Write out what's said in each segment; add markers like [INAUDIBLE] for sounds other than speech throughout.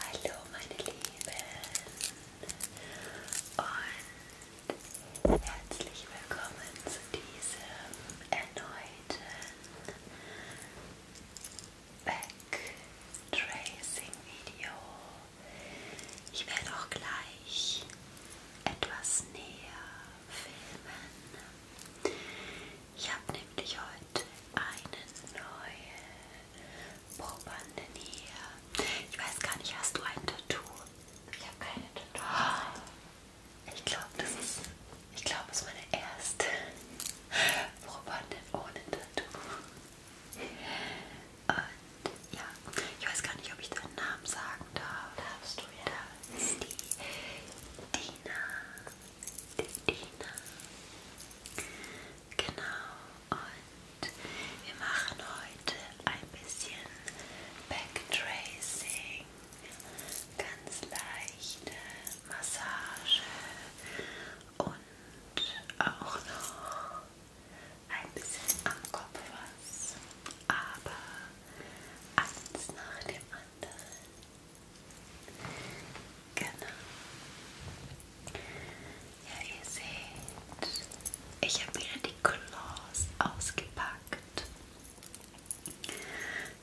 Hallo meine Lieben und herzlich willkommen zu diesem erneuten Backtracing Video. Ich werde auch gleich etwas näher filmen. Ich habe nämlich heute heute eine neue Probande hier. Ich weiß gar nicht, hast du ein Tattoo? Ich habe keine Tattoo. Ich glaube, das ist, ich glaube, es ist meine erste Probandin ohne Tattoo. Und ja, ich weiß gar nicht, ob ich deinen Namen sagen darf. Darfst du ja. Da ist die Dina ist Ina. Genau, und wir machen heute ein bisschen Backtracing, ganz leichte Massage und auch noch ein bisschen am Kopf was, aber eins nach dem anderen. Genau. Ja, ihr seht, ich habe wieder die Claws ausgepackt.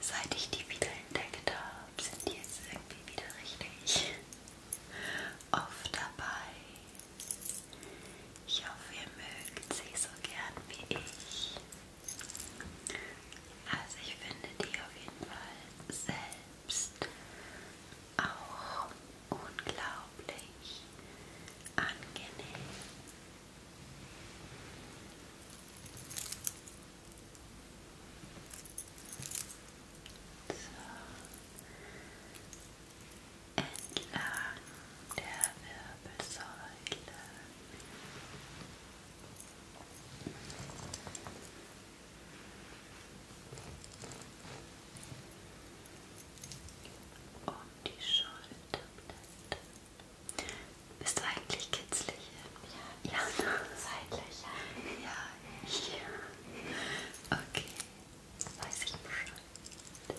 Seit ich die wieder entdeckt habe, sind die jetzt irgendwie wieder richtig oft dabei. Ich hoffe, ihr mögt sie so gern wie ich. Also ich finde die auf jeden Fall selbst auch unglaublich angenehm. So. Entlang der Wirbelsäule um die Schulterblätter. Bist du eigentlich kitzlig? Ja. Ja, seitlich. Ja, hier. Ja. Okay. Weiß ich Bescheid. Okay.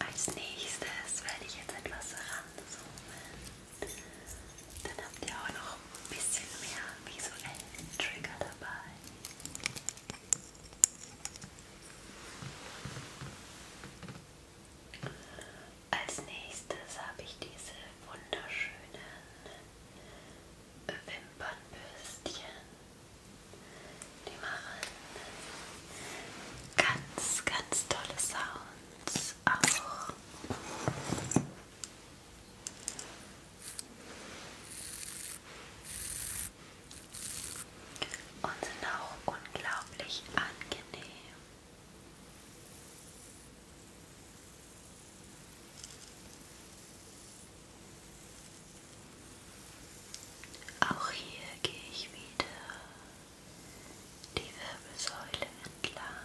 Als nächstes werde ich jetzt etwas ranzoomen dann habt ihr auch noch ein bisschen mehr visuellen Trigger dabei. Als nächstes habe ich diese wunderschönen Wimpernbürstchen. Die machen ganz, ganz tolle Sounds auch und sind auch unglaublich angenehm. Auch hier gehe ich wieder die Wirbelsäule entlang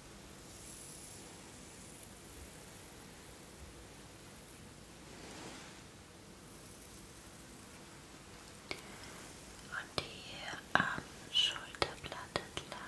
Und hier am Schulterblatt entlang.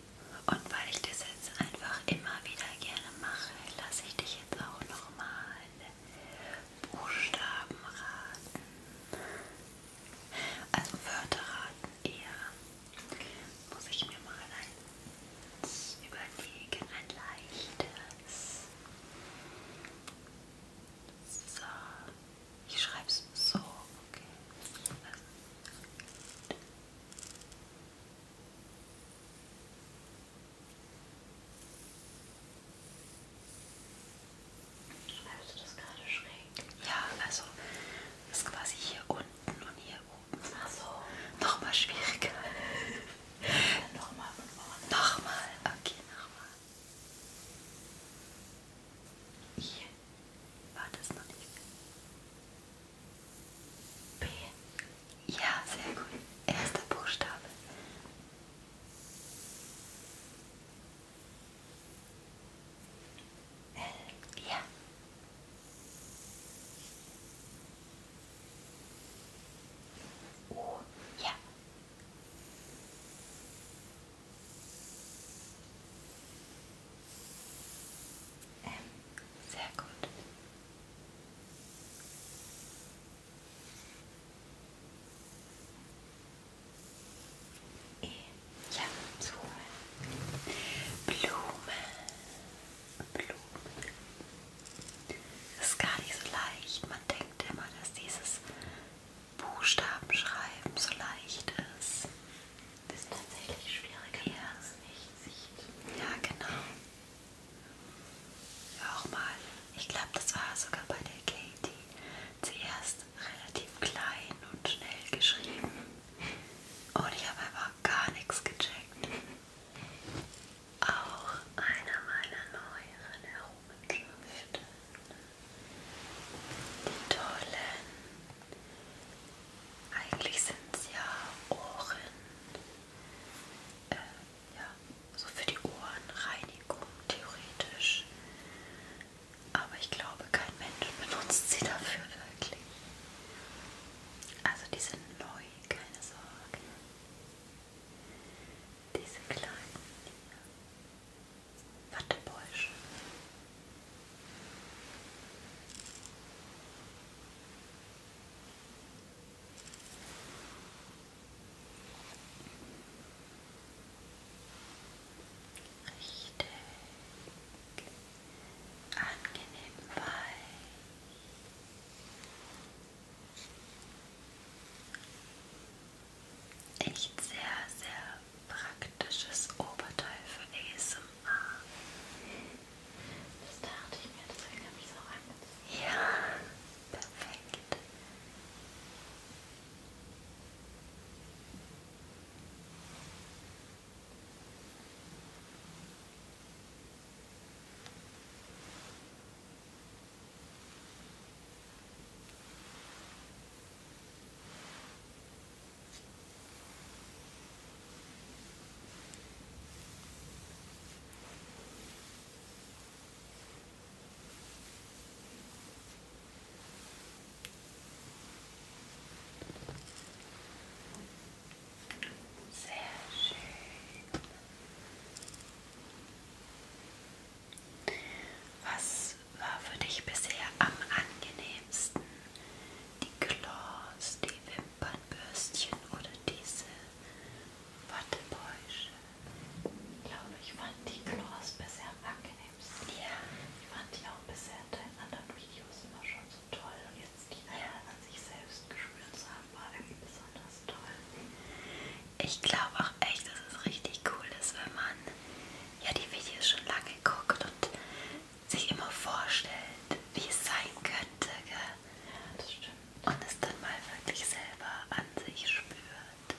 Und weil ich das jetzt einfach immer wieder gerne mache, lasse ich dich jetzt auch nochmal Buchstaben raten. Also Wörter raten eher. Muss ich mir mal ein überlegen, ein leichtes. So, ich schreibe es so, okay. Also, Schreibst du das gerade schräg? Ja, also das ist quasi hier unten und hier oben. Ach so. Nochmal schwieriger. Dann [LAUGHS] nochmal von vorne. Nochmal, okay, nochmal. Hier war das noch nicht? B. Ja, sehr gut. Erster Buchstabe. L. Ja. O. Ja. Ähm, sehr gut. E. Ja, Blume. Blume. Blume. Das ist gar nicht so leicht. Man denkt immer, dass dieses Buchstabenschreiben so leicht ist ist tatsächlich schwieriger, wenn man es nicht sieht. Ja, genau. Auch mal, ich glaube, das war sogar bei der Katie zuerst relativ klein und schnell geschrieben. Und ich habe einfach gar nichts gecheckt. Auch einer meiner neueren Errungenschaften. Die tollen eigentlich sind es ja Ohren, äh, ja, so für die Ohrenreinigung theoretisch. Aber ich glaube, kein Mensch benutzt sie dafür wirklich. Also die sind neu, keine Sorge. Diese kleinen hier. Wattebäuschen. Richtig angenehm weich. Echt sehr, sehr praktisches Oberteil für ASMR. Das dachte ich mir, deswegen habe ich es auch angezogen. Ja, perfekt. Perfekt. Sehr schön. Was was war für dich bisher am angenehmsten? Die Claws, die Wimpernbürstchen oder diese Wattebäusche? Ich glaube, ich fand die Claws bisher am angenehmsten. Ja. Ich fand die auch bisher in deinen anderen Videos immer schon so toll. Und jetzt die ja. an sich selbst gespürt zu haben, war irgendwie besonders toll. Ich glaube auch echt, dass es richtig cool ist, wenn man ja die Videos schon lange guckt und sich immer vorstellt, wie es sein könnte, gell? Das stimmt. Und es dann mal wirklich selber an sich spürt. So.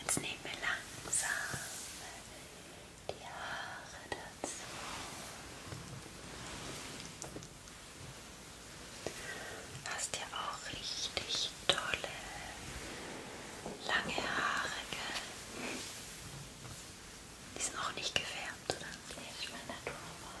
Jetzt nehmen wir langsam die Haare dazu. Hast ja auch richtig tolle lange Haare, gell? Die sind auch nicht gefärbt, oder? Nee, ich meine Naturfarbe.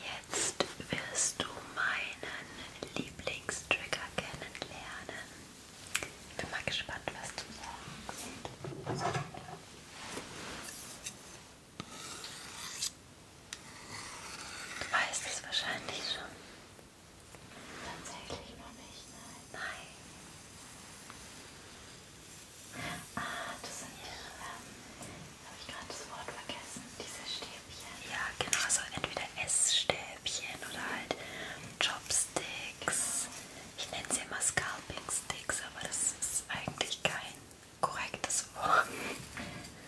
Jetzt wirst du meinen Lieblingstrigger kennenlernen. Ich bin mal gespannt, was du sagst. Du weißt es wahrscheinlich schon. Tatsächlich noch nicht, nein. Nein. Ah, das sind ja. ähm, habe ich gerade das Wort vergessen? Diese Stäbchen? Ja, genau. Also entweder Essstäbchen oder halt Chopsticks. Genau. Ich nenne sie immer Scalping Sticks, aber das ist eigentlich kein korrektes Wort.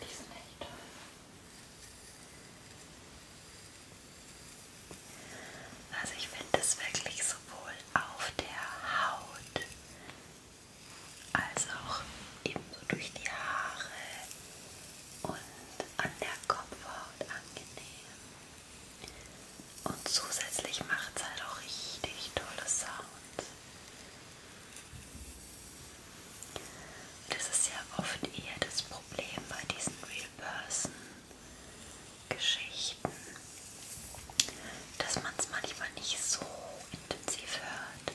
Die sind echt toll. Also ich finde das wirklich sowohl auf der Haut als auch ebenso durch die Haare und an der Kopfhaut angenehm. Und zusätzlich macht es halt auch richtig tolle Sounds. Das ist ja oft eher das Problem bei diesen Real Person Geschichten, dass man es manchmal nicht so intensiv hört,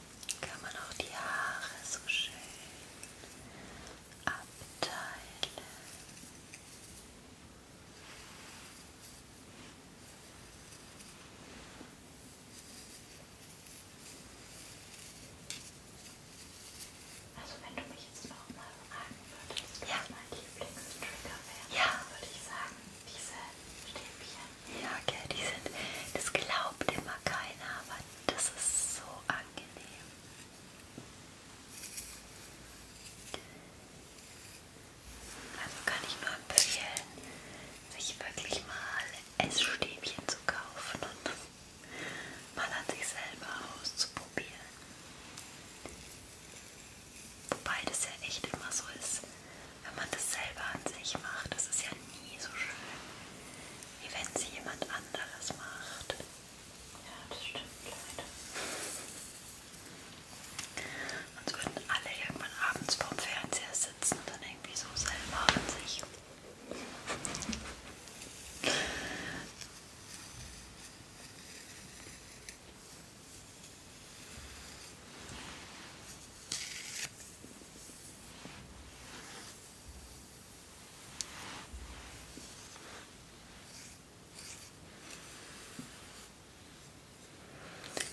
kann man auch die Haare so schön abteilen. Also wenn du mich jetzt noch mal fragen würdest, was ja. mein Lieblingstrigger wäre, ja. würde ich sagen, diese Stäbchen. Ja, okay, die sind, das glaubt immer keiner, aber das ist so angenehm. Also kann ich nur empfehlen, sich wirklich mal Essstäbchen zu kaufen und mal an sich selber auszuprobieren. Wobei das ja echt immer so ist, wenn man das selber an sich macht, das ist ja nie so schön, wie wenn sie jemand anderes macht. Ja, das stimmt leider. Sonst würden alle irgendwann abends vorm Fernseher sitzen und dann irgendwie so selber an sich.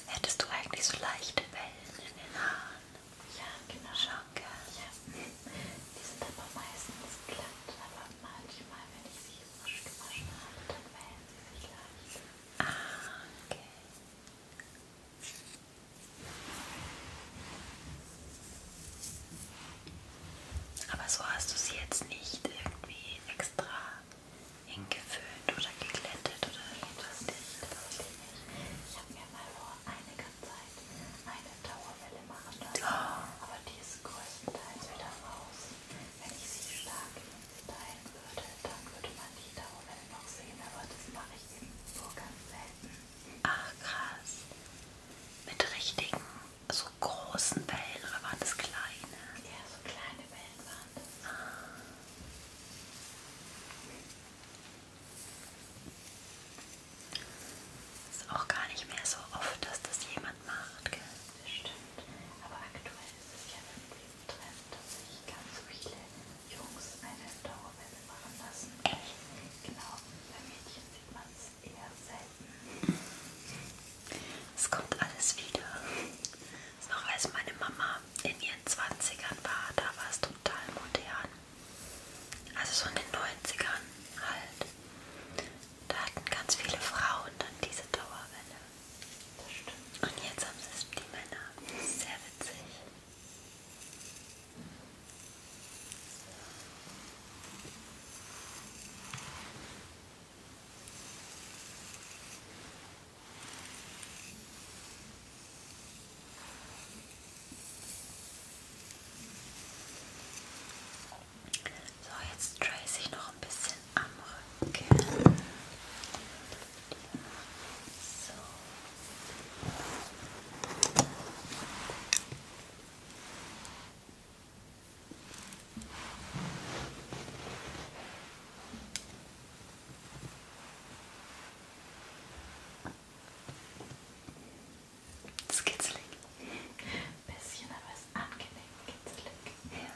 Hättest du eigentlich so leichte Wellen in den Haaren? Ja, genau. Schon, ja. Die sind aber meistens glatt, aber manchmal, wenn ich sie frisch gewaschen habe, dann wellen sie sich leicht. Ah, okay. Aber so hast du sie jetzt nicht irgendwie extra hingeföhnt oder geglättet oder irgendwas. Ich habe mir mal vor einiger Zeit eine Dauerwelle machen lassen, oh. aber die ist größtenteils wieder raus. Wenn ich sie stark teilen würde, dann würde man die Dauerwelle noch sehen, aber das mache ich eben nur ganz selten. Ach krass. Mit richtigen, so großen Wellen oder waren das kleine? Ja, so kleine Wellen waren das. Ah. Ist auch gar nicht mehr so oft, dass das jemand macht, gell? Das stimmt. Aber aktuell ist es ja irgendwie ein Trend, dass sich ganz viele Jungs eine Dauerwelle machen lassen. Echt? Genau, bei Mädchen sieht man es eher selten. Es kommt alles wieder. Noch als meine Mama in ihren 20ern war, da war es total modern. Also so in den 90ern halt. Da hatten ganz viele Frauen dann diese Dauerwelle. Das stimmt. Und jetzt haben es die Männer. Sehr witzig. So, jetzt trace ich noch ein bisschen am Rücken. So. Das kitzelig. Bisschen, aber es ist angenehm kitzelig. Ja.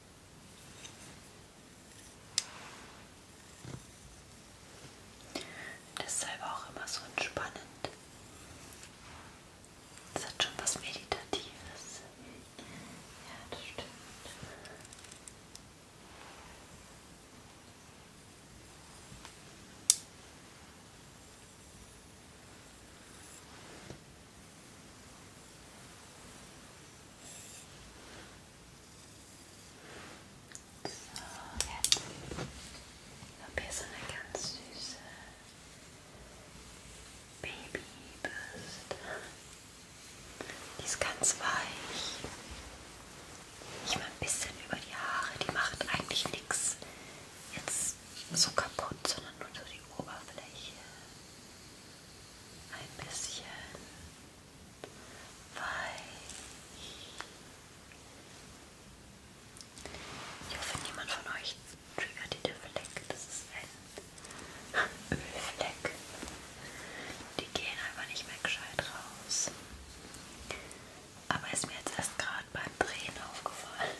Deshalb auch immer so entspannend. Das hat schon was Meditatives. Ja, das stimmt. So, jetzt habe hier so eine ganz süße Babybürste. Die ist ganz weich. Ich mal ein bisschen über die Haare, die macht eigentlich nichts jetzt so kaputt, sondern nur so die Oberfläche. Ein bisschen weich. Ich hoffe, niemand von euch triggert die Fleck. Das ist ein Ölfleck. Die gehen einfach nicht mehr gescheit raus. Aber ist mir jetzt erst gerade beim Drehen aufgefallen.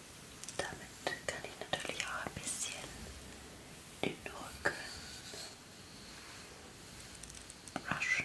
Damit kann ich natürlich auch ein bisschen den Rücken rushen.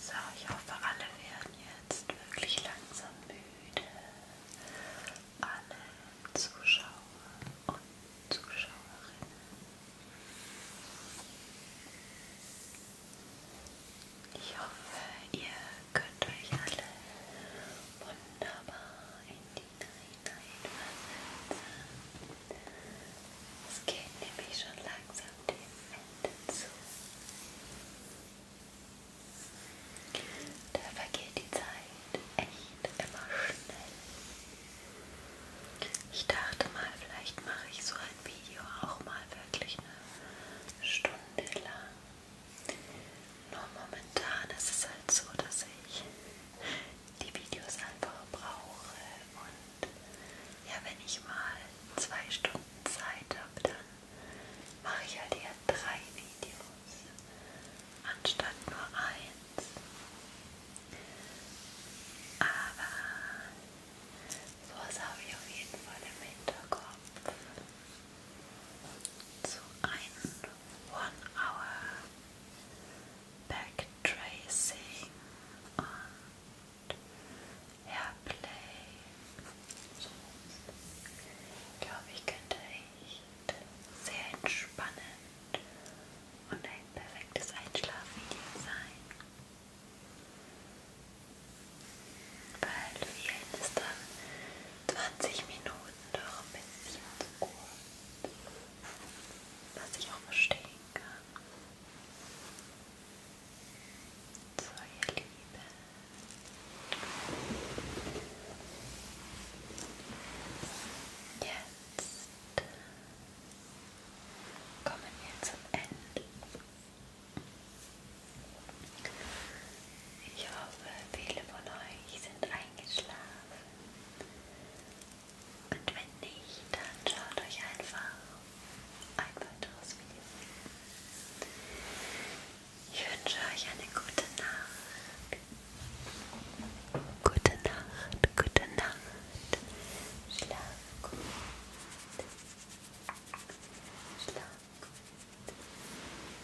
So, ich hoffe, alle werden jetzt wirklich langsam müde. Alle Zuschauer und Zuschauerinnen. Ich hoffe, ihr könnt euch alle wunderbar in Wasser. Es geht nämlich schon langsam dem Ende zu. Da vergeht die Zeit echt immer schnell. Ich dachte mal, vielleicht mache ich so ein Video auch mal wirklich eine Stunde lang. Nur momentan ist es halt so, dass ich die Videos einfach brauche und ja, wenn ich mal zwei Stunden Zeit habe, dann mache ich halt eher drei Videos anstatt nur eins. Aber sowas habe ich auf jeden Fall im Hinterkopf. Zu einem one hour Backtracing und Hairplay. Ich glaube, ich könnte echt sehr entspannend und ein perfektes Einschlafvideo sein. Weil vielen ist dann 20 Minuten doch ein bisschen gut. Was ich auch verstehen kann. So, ihr Lieben. Jetzt kommen wir zum Ende. Ich hoffe, viele von euch sind eingeschlafen. Und wenn nicht, dann schaut euch einfach ein weiteres Video. Ich wünsche euch eine gute Nacht. Gute Nacht, gute Nacht. Schlaf gut. Schlaf gut.